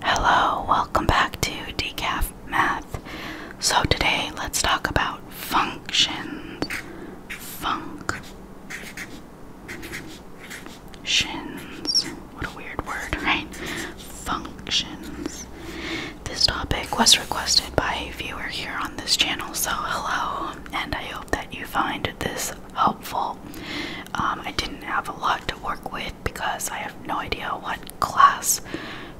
Hello, welcome back to Decaf Math. So today let's talk about functions. Functions. What a weird word, right? Functions. This topic was requested by a viewer here on this channel, so hello, and I hope that you find this helpful. Um, I didn't have a lot to work with because I no idea what class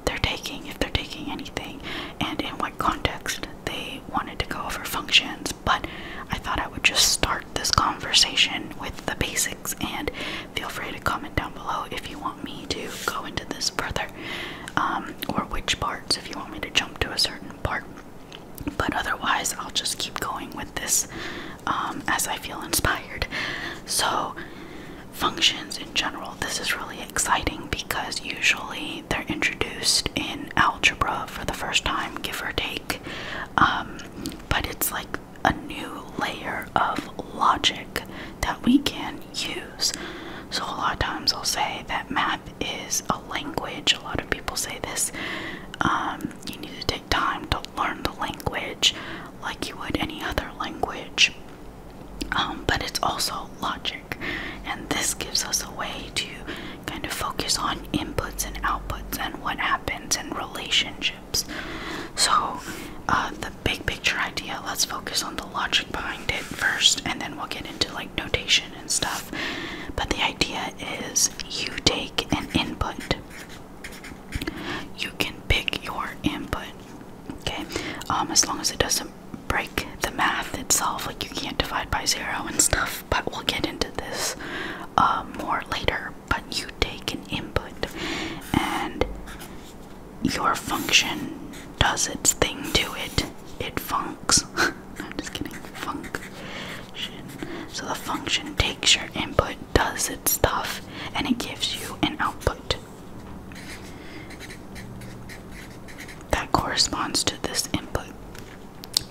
they're taking, if they're taking anything, and in what context they wanted to go over functions. But I thought I would just start this conversation with the basics, and feel free to comment down below if you want me to go into this further, um, or which parts, if you want me to jump to a certain part. But otherwise, I'll just keep going with this um, as I feel inspired. So, functions in general, this is really exciting because usually they're introduced in algebra for the first time, give or take. Um, but it's like a new layer of logic that we can use. So, a lot of times I'll say that math is a language, a lot of people say this. Um, you need to take time to learn the language like you would any other language. Um, but it's also logic, and this gives us a way to kind of focus on inputs and outputs and what happens in relationships. So, uh, the big picture idea, let's focus on the logic behind it first, and then we'll get into like notation and stuff. But the idea is you take an input you can pick your input okay um as long as it doesn't break the math itself like you can't divide by zero and stuff but we'll get into this uh, more later but you take an input and your function does its thing to it it funks i'm just kidding function so the function takes your input does its stuff and it gives you an output. That corresponds to this input.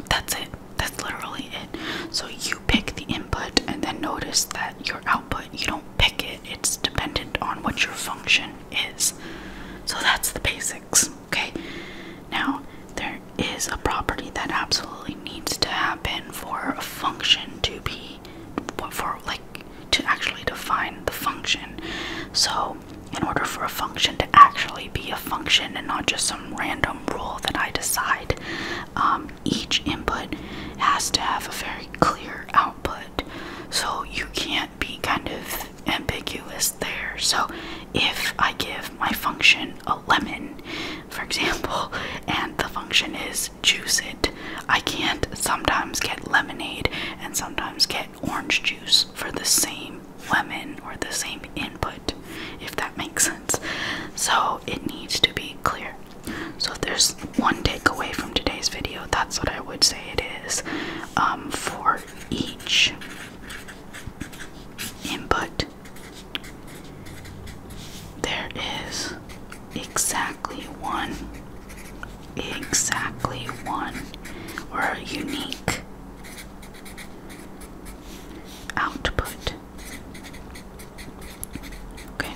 That's it. That's literally it. So you pick the input and then notice that your output, you don't pick it, it's dependent on what your function is. So that's the basics, okay? Now, there is a property that absolutely needs to happen for a function to be for like to actually define the function. So, in order for a function to actually be a function and not just some random rule that I decide, um, each input has to have a very clear output. So, you can't be kind of ambiguous there. So, if I give my function a lemon, for example, and the function is juice it. I can't sometimes get lemonade and sometimes get orange juice for the same lemon or the same input, if that makes sense. So it needs to be clear. So if there's one takeaway from today's video, that's what I would say it is um, for each input. There is exactly one, exactly one, or unique output. Okay.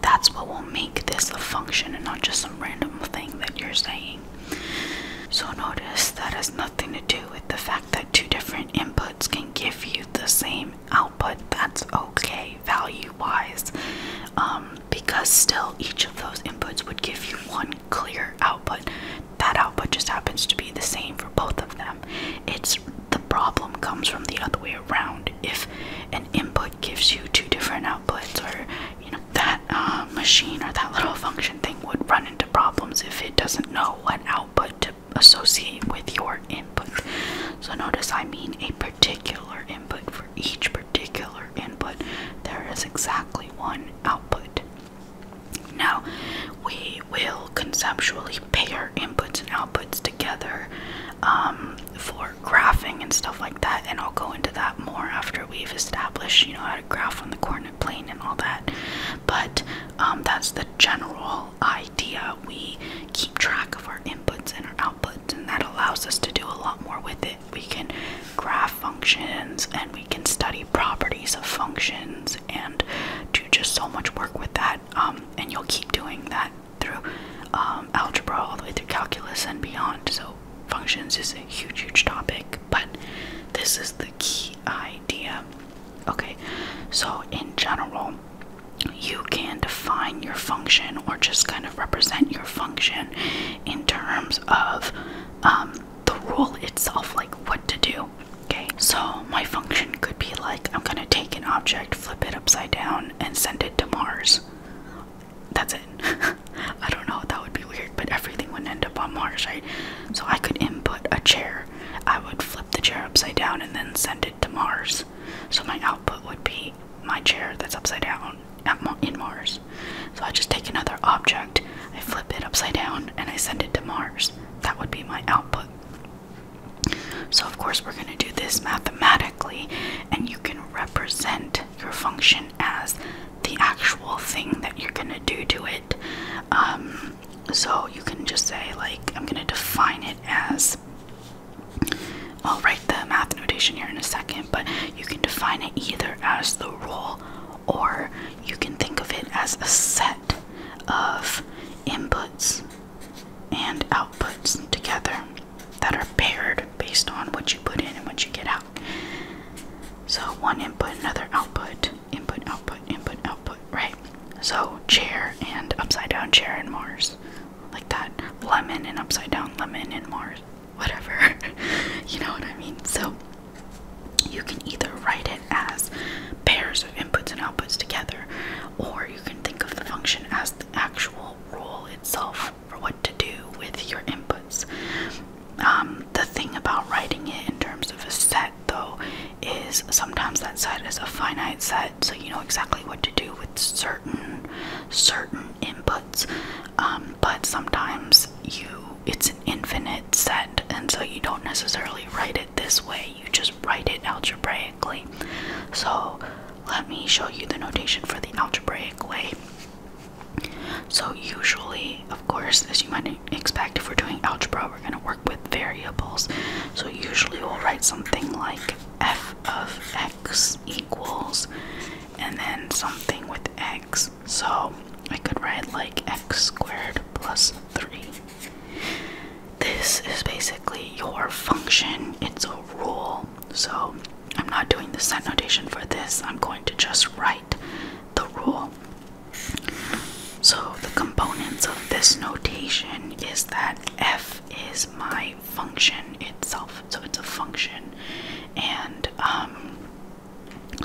That's what will make this a function and not just some random thing that you're saying. So notice that has nothing to do with the fact that two different inputs can give you the same output that's okay value wise um, because still each of those inputs would give you one clear output that output just happens to be the same for both of them it's the problem comes from the other way around if an input gives you two different outputs or you know that uh, machine or that little function thing would run into problems if it doesn't know what output to associate with your input. So notice I mean a particular input. For each particular input, there is exactly one output. Now, we will conceptually pair inputs and outputs together um, for graphing and stuff like that, and I'll go into that more after we've established, you know, how to graph on the coordinate plane and all that. But um, that's the general idea idea, we keep track of our inputs and our outputs, and that allows us to do a lot more with it. We can graph functions and we can study properties of functions and do just so much work with that. Um, and you'll keep doing that through um, algebra all the way through calculus and beyond. So, functions is a huge, huge topic, but this is the key idea. Okay, so in general, you can define your function or just kind of represent your function in terms of um, the rule itself, like what to do. Okay, so my function could be like I'm gonna take an object, flip it upside down, and send it to Mars. That's it. I don't know, that would be weird, but everything would end up on Mars, right? So I could input a chair, I would flip the chair upside down and then send it to Mars. So my output would be my chair that's upside down in Mars. So I just take another object, I flip it upside down, and I send it to Mars. That would be my output. So, of course, we're going to do this mathematically, and you can represent your function as the actual thing that you're going to do to it. Um, so, you can just say, like, I'm going to define it as I'll write the math notation here in a second, but you can define it either as the rule or you can think of it as a set of inputs and outputs together that are paired based on what you put in and what you get out. So one input, another output, input, output, input, output, right? So chair and upside down chair and Mars like that lemon and upside down lemon and Mars, whatever. you know what I mean? So you can either write it as pairs of inputs and outputs together, or you can think of the function as the actual rule itself for what to do with your inputs. Um, the thing about writing it in terms of a set, though, is sometimes that set is a finite set, so you know exactly what to do with certain certain inputs um, but sometimes you it's an infinite set and so you don't necessarily write it this way you just write it algebraically so let me show you the notation for the algebraic way so usually of course as you might expect if we're doing algebra we're going to work with variables so usually we'll write something like f of x equals and then something with x. So I could write like x squared plus 3. This is basically your function, it's a rule. So I'm not doing the set notation for this, I'm going to just write the rule. So the components of this notation is that f is my function itself. So it's a function, and um,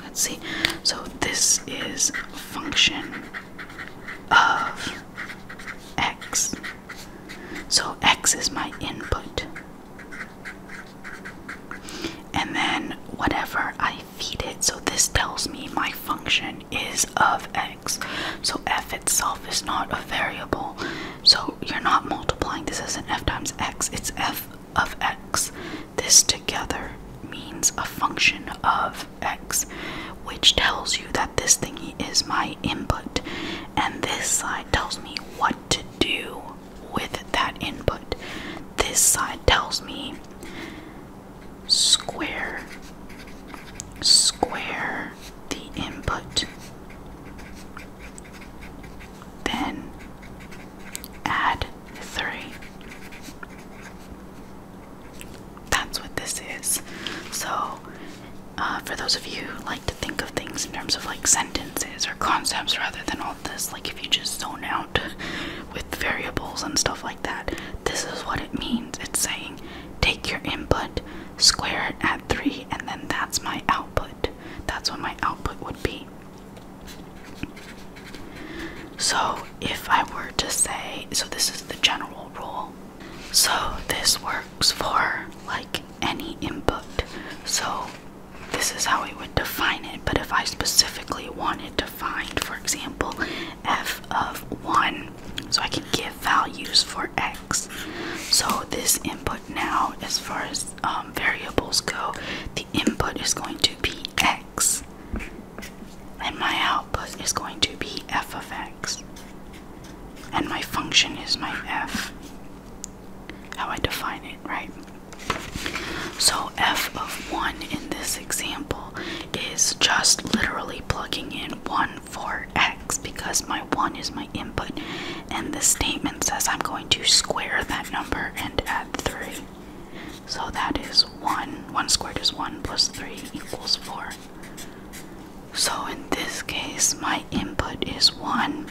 let's see. So this is function of x. So x is my input, and then whatever I feed it. So this tells me my function is of x. So f itself is not a variable. So you're not multiplying. This isn't f times x, it's f of x. This together means a function of x, which tells you that this thingy is my input. And this side tells me what to do with that input. This side tells me square, square, the input. Then add 3. That's what this is. So, uh, for those of you who like to think of things in terms of like sentences or concepts rather than all this, like if you just zone out with variables and stuff like that, this is what it means. It's saying take your input, square it at 3, and then that's my output. That's what my output would be. So if I were to say, so this is the general rule. So this works for like any input. So this is how we would define it. But if I specifically wanted to find, for example, f of 1, so I can give values for x. So this input now, as far as um, variables go, the input is going to be x, and my output is going to be f of x, and my function is my f, how I define it, right? So f of 1 in this example is just literally plugging in 1 4x because my 1 is my input and the statement says I'm going to square that number and add 3. So that is 1. 1 squared is 1 plus 3 equals 4. So in this case, my input is 1.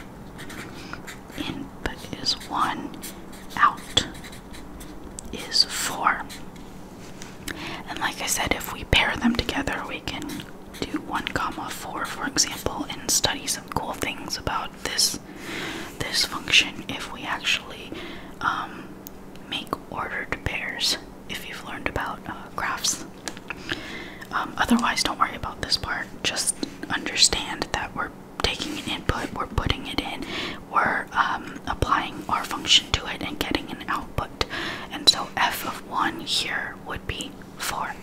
Input is 1. Out is 4. And like I said, if we pair them together, we can do 1 comma 4 for example and study some cool things about this this function if we actually um, make ordered pairs if you've learned about uh, graphs um, otherwise don't worry about this part just understand that we're taking an input we're putting it in we're um, applying our function to it and getting an output and so f of 1 here would be 4.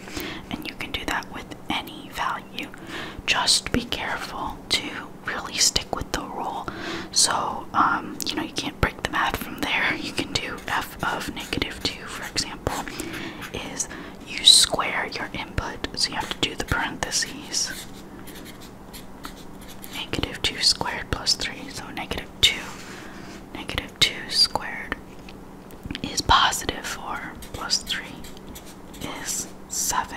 And you can do that with any value. Just be careful to really stick with the rule. So, um, you know, you can't break the math from there. You can do f of negative 2, for example, is you square your input. So you have to do the parentheses. Negative 2 squared plus 3. So negative 2, negative 2 squared is positive 4 plus 3 is 7.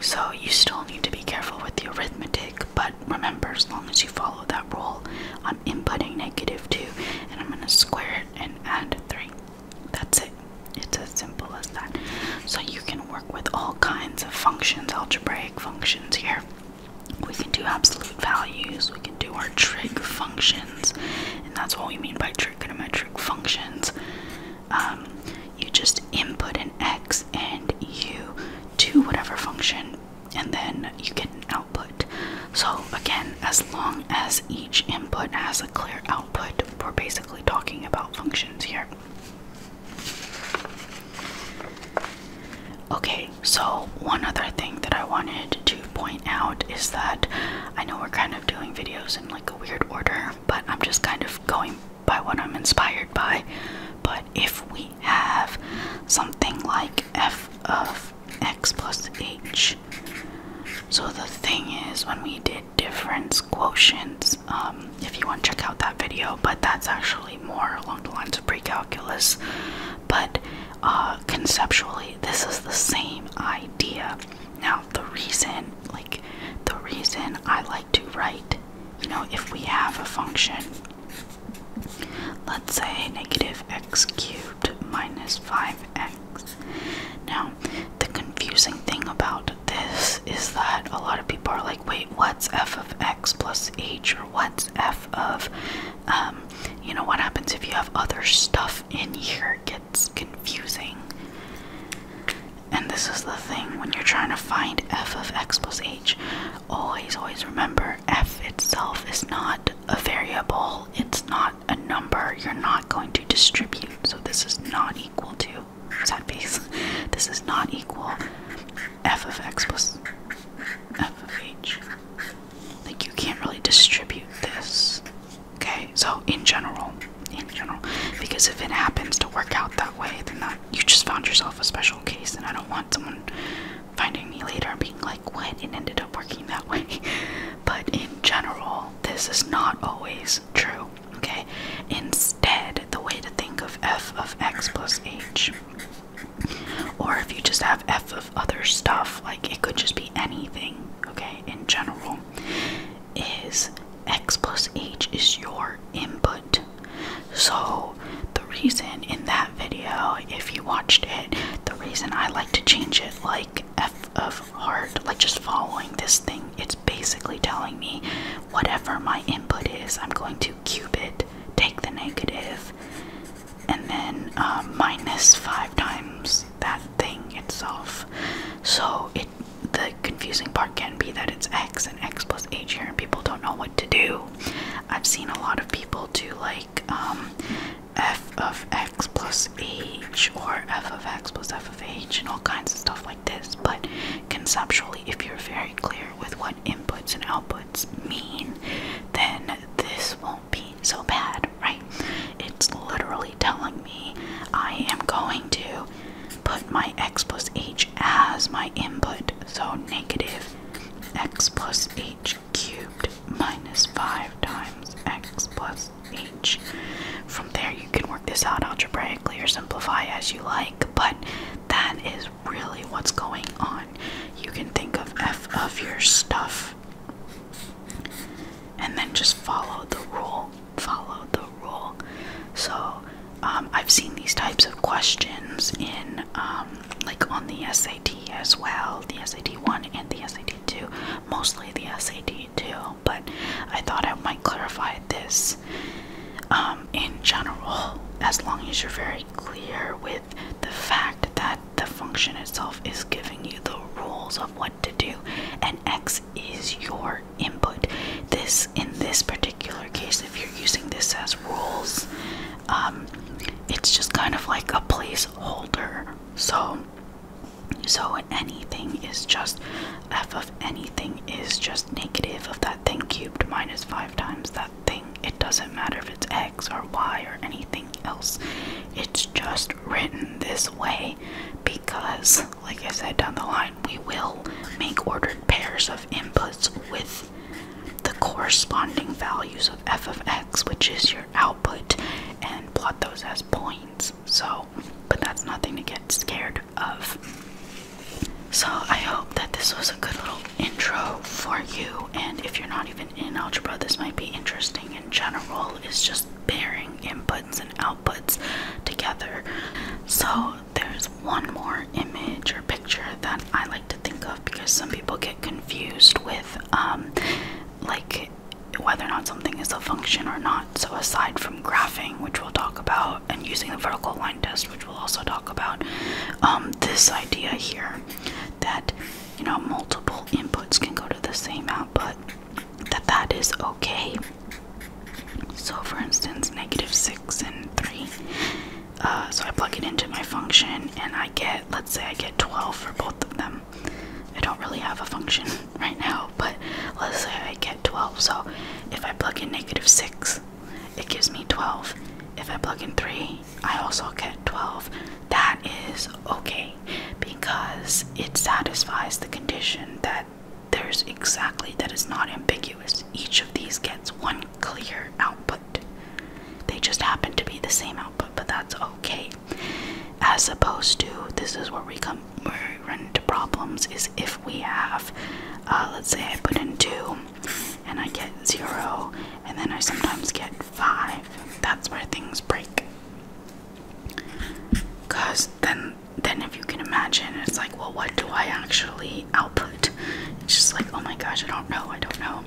So you still need to be careful with the arithmetic, but remember, as long as you follow that rule, I'm inputting negative 2 and I'm going to square it and add 3. That's it. It's as simple as that. So you can work with all kinds of functions, algebraic functions here we can do absolute values, we can do our trig functions, and that's what we mean by trigonometric functions. Um, you just input an x and you do whatever function, and then you get an output. So, again, as long as each input has a clear output, we're basically talking about functions here. Okay, so one other thing that I wanted to point out is that I know we're kind of doing videos in like a weird order, but I'm just kind of going by what I'm inspired by. But if we have something like f of x plus h, so the thing is, when we did difference quotients, um, if you want to check out that video, but that's actually more along the lines of pre-calculus, but uh, conceptually this is the same idea. Now the reason, like the reason I like to write, you know, if we have a function, let's say negative x cubed minus 5x. Now the confusing thing about this is that a lot of people are like, wait, what's f of x plus h or what's f of um, you know what happens if you have other stuff in here it gets confusing and this is the thing when you're trying to find f of x plus h always always remember f itself is not a variable it's not a number you're not going to distribute so this is not equal to this is not equal f of x plus f of h. Like you can't really distribute this. Okay, so in general, in general, because if it happens to work out that way, then that you just found yourself a special case, and I don't want someone finding me later and being like, "What?" It ended up working that way. But in general, this is not always true. Okay, instead, the way to think of f of x plus h or if you just have F of other stuff, like it could just be anything, okay, in general, is X plus H is your input. So, the reason in that video, if you watched it, the reason I like to change it like F of heart, like just following this thing, it's basically telling me whatever my input is, I'm going to cube it, take the negative, and then uh, minus five times that thing itself. So it the confusing part can be that it's x and x plus h here, and people don't know what to do. I've seen a lot of people do like um, f of x plus h or f of x plus f of h and all kinds of stuff like this, but conceptually, if you're very clear with what inputs and outputs mean, then this won't be so bad, right? It's literally telling me I am going to put my x plus h as my input, so negative x plus h cubed minus 5 times x plus h. From there, you can work this out algebraically or simplify as you like, but that is really what's going on. You can think of F of your stuff and then just follow the rule. Follow the rule. So, um, I've seen these types of questions in, um, like on the SAT as well, the SAT 1 and the SAT 2, mostly the SAT 2, but I thought I might clarify this um, in general. As long as you're very clear with the fact that the function itself is giving you the rules of what to do and x is your input this in this particular case if you're using this as rules um, it's just kind of like a placeholder so so anything is just f of anything is just negative of that thing cubed minus 5 times that it doesn't matter if it's X or Y or anything else. It's just written this way because, like I said down the line, we will make ordered pairs of inputs with the corresponding values of f of x, which is your output, and plot those as points. So, but that's nothing to get scared of. So I hope that this was a good little intro for you. And if you're not even in algebra, this might be interesting in general. It's just pairing inputs and outputs together. So there's one more image or picture that I like to think of because some people get confused with um, like whether or not something is a function or not. So aside from graphing, which we'll talk about, and using the vertical line test, which we'll also talk about, um, this idea here that you know multiple inputs can go to the same output that that is okay so for instance negative 6 and 3 uh, so I plug it into my function and I get let's say I get 12 for both of them I don't really have a function right now but let's say I get 12 so if I plug in negative 6 it gives me 12. If I plug in 3, I also get 12. That is okay because it satisfies the condition that there's exactly that is not ambiguous. Each of these gets one clear output. They just happen to be the same output, but that's okay. As opposed to this is where we come where we run into problems is if we have uh, let's say I put in two and I get zero, and then I sometimes get five. That's where things break. Cause then, then if you can imagine, it's like, well, what do I actually output? It's just like, oh my gosh, I don't know, I don't know.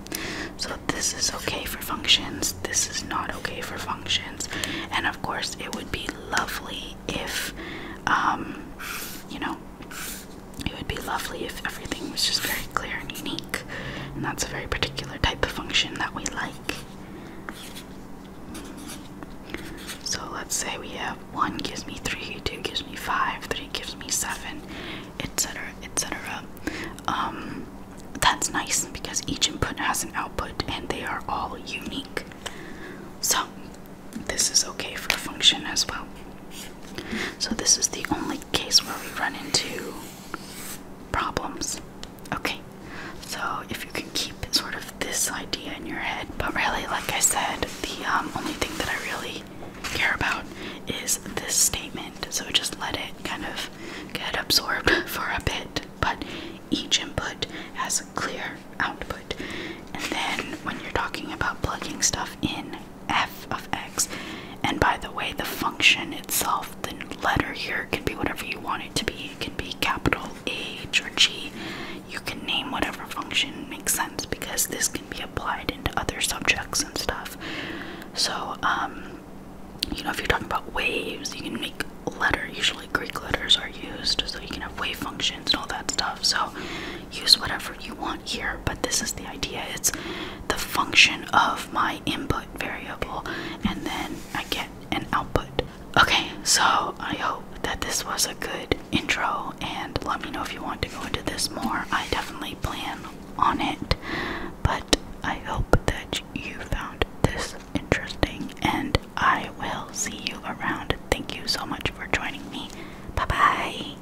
So this is okay for functions. This is not okay for functions. And of course, it would be lovely if, um, you know, it would be lovely if everything was just very clear and unique, and that's a very particular type of function that we like. So let's say we have 1 gives me 3, 2 gives me 5, 3 gives me 7, etc., etc. Um, that's nice because each input has an output and they are all unique. So, this is okay for a function as well. So, this is the only case where we run into problems. Okay, so if you can keep sort of this idea in your head, but really, like I said, the um, only thing that I really care about is this statement, so just let it kind of get absorbed for a bit. But each input has a clear output, and then when you're talking about plugging stuff in, f of x. And by the way, the function itself, the letter here can be whatever you want it to be. It can be capital H or G. You can name whatever function makes sense because this can be applied into other subjects and stuff. So, um, you know, if you're talking about waves, you can make letter. Usually Greek letters are used, so you can have wave functions and all that stuff. So use whatever you want here, but this is the idea. It's the function of my input variable, and then I get an output. Okay, so I hope that this was a good intro, and let me know if you want to go into this more. I definitely plan on it, but I hope that you found this interesting, and I will see you around. Thank you so much for joining me. Bye bye.